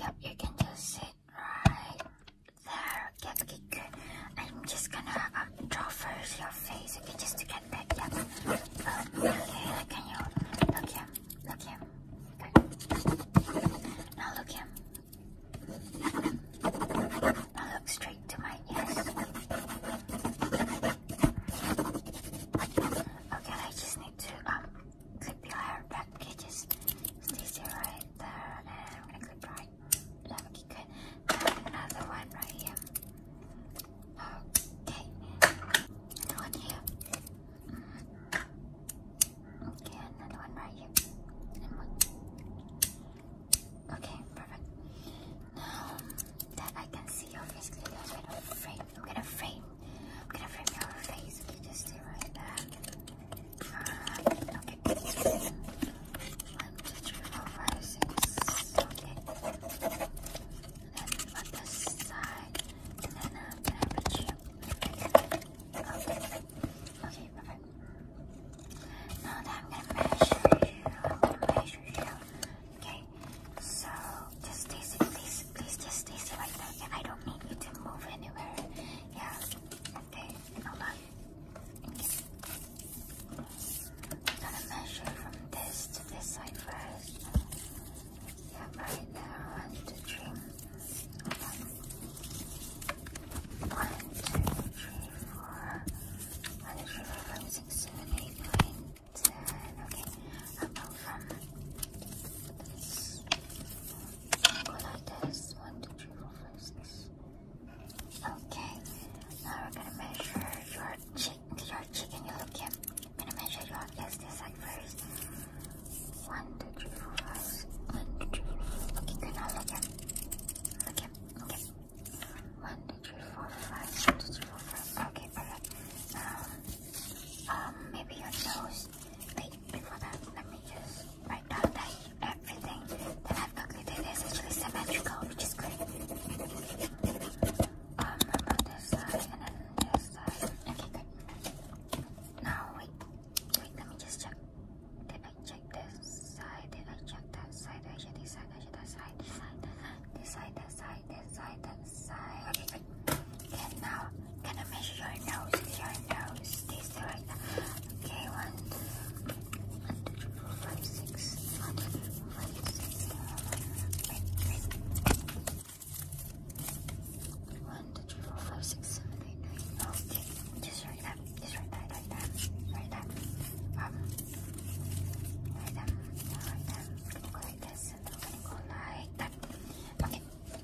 Yep, you can just sit right there. Yep, good. I'm just gonna um, draw first your face, okay, just to get that. Yep. Oh, okay, Look at you look him? Look him. Good. Now look him. Now look straight to my eyes. Okay, I just need to um, clip your hair back edges. This here right there, and I'm gonna clip right. Let me get another one right here. Okay, another one here. Okay, another one right here. Okay, perfect. Now that I can see your face, I'm gonna frame. I'm gonna frame I'm gonna frame your face. Okay, just stay right back. Alright, uh, okay. One, two, three, four, five, six. Okay. then on this side. And then uh, I'm gonna put you. Okay. Okay, perfect. Now that I'm gonna measure you, I'm gonna measure you. Okay, so just stay still, please, please just stay still right there. Yeah, I don't need you to move anywhere. Yeah, okay, hold on. I'm gonna measure from this to this side first. Yeah, right there. One, two, three. Hold on. One, two, three, four. One, two, three, four, five, six, seven, eight, nine. Okay, apart from go like this. One, two, three, four, five, six. Okay, now we're gonna measure your cheek, your cheek, and your look here. I'm gonna measure your yes, this side first. One, two, three, four, five. One, two, three, four. Okay, good. Now look at, look at. Okay, one, two, three, four, five. Okay, perfect. Um, um, maybe your nose. Wait, before that, let me just write down that everything that I've calculated is actually symmetrical, which is great. Um, about this side and then this side. Okay, good. Now, wait. Wait, let me just check. Did I check this? side, then I check that side, I check this side, I check that side, this side, this side, that side, this side, that side. Okay, good. And now, gonna measure your nose, your nose, this right now. Okay, one, two, one, two, three, four, five, six, one, two, three, four, five, six, seven, eight, eight. One, two, three, four, five, six, seven, eight, nine. Okay, just right now. Just write that, write that, write that. Um, that, write that. It's going like this, and like that. Okay,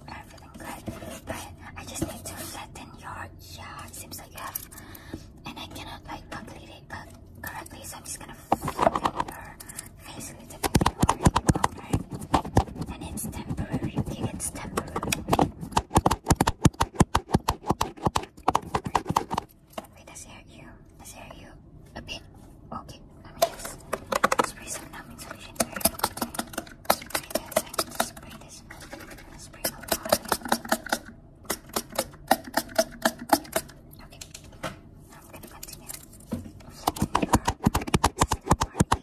i good. But I just need to flatten your yeah, it seems like you have and I cannot like calculate it co correctly, so I'm just gonna flatten it. face a little bit more And it's temporary, okay, it's temporary. Wait, does it hurt you? Does it hurt you a bit? Okay, let me just spray some numbing solution here. Spray this, I can just spray this. I'll spray a lot. Okay, now I'm gonna continue. Flipping your, this is the party.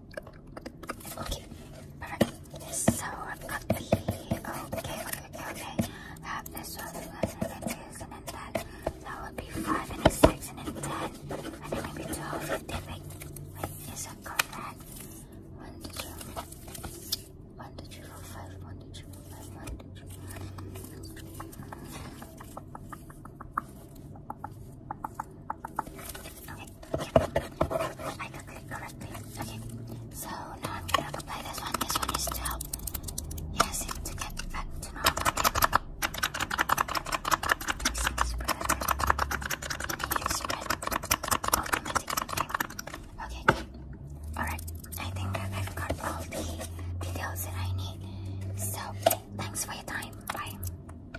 Okay, perfect. So I've got the okay, okay, okay, okay. I have this one, and then this, and then that. That would be five, and then six, and then ten, and then maybe twelve, fifteen. Wait, wait, is that correct? One, two, three. one, two, three, four, five, one, two, three, four, five, one, two, three, four, five. Okay, I cooked correctly. Okay, so now I'm gonna apply this one. This one is to help. to get back to normal. Okay, Alright, I think I've got all the details that I need. So, thanks for your time. Bye.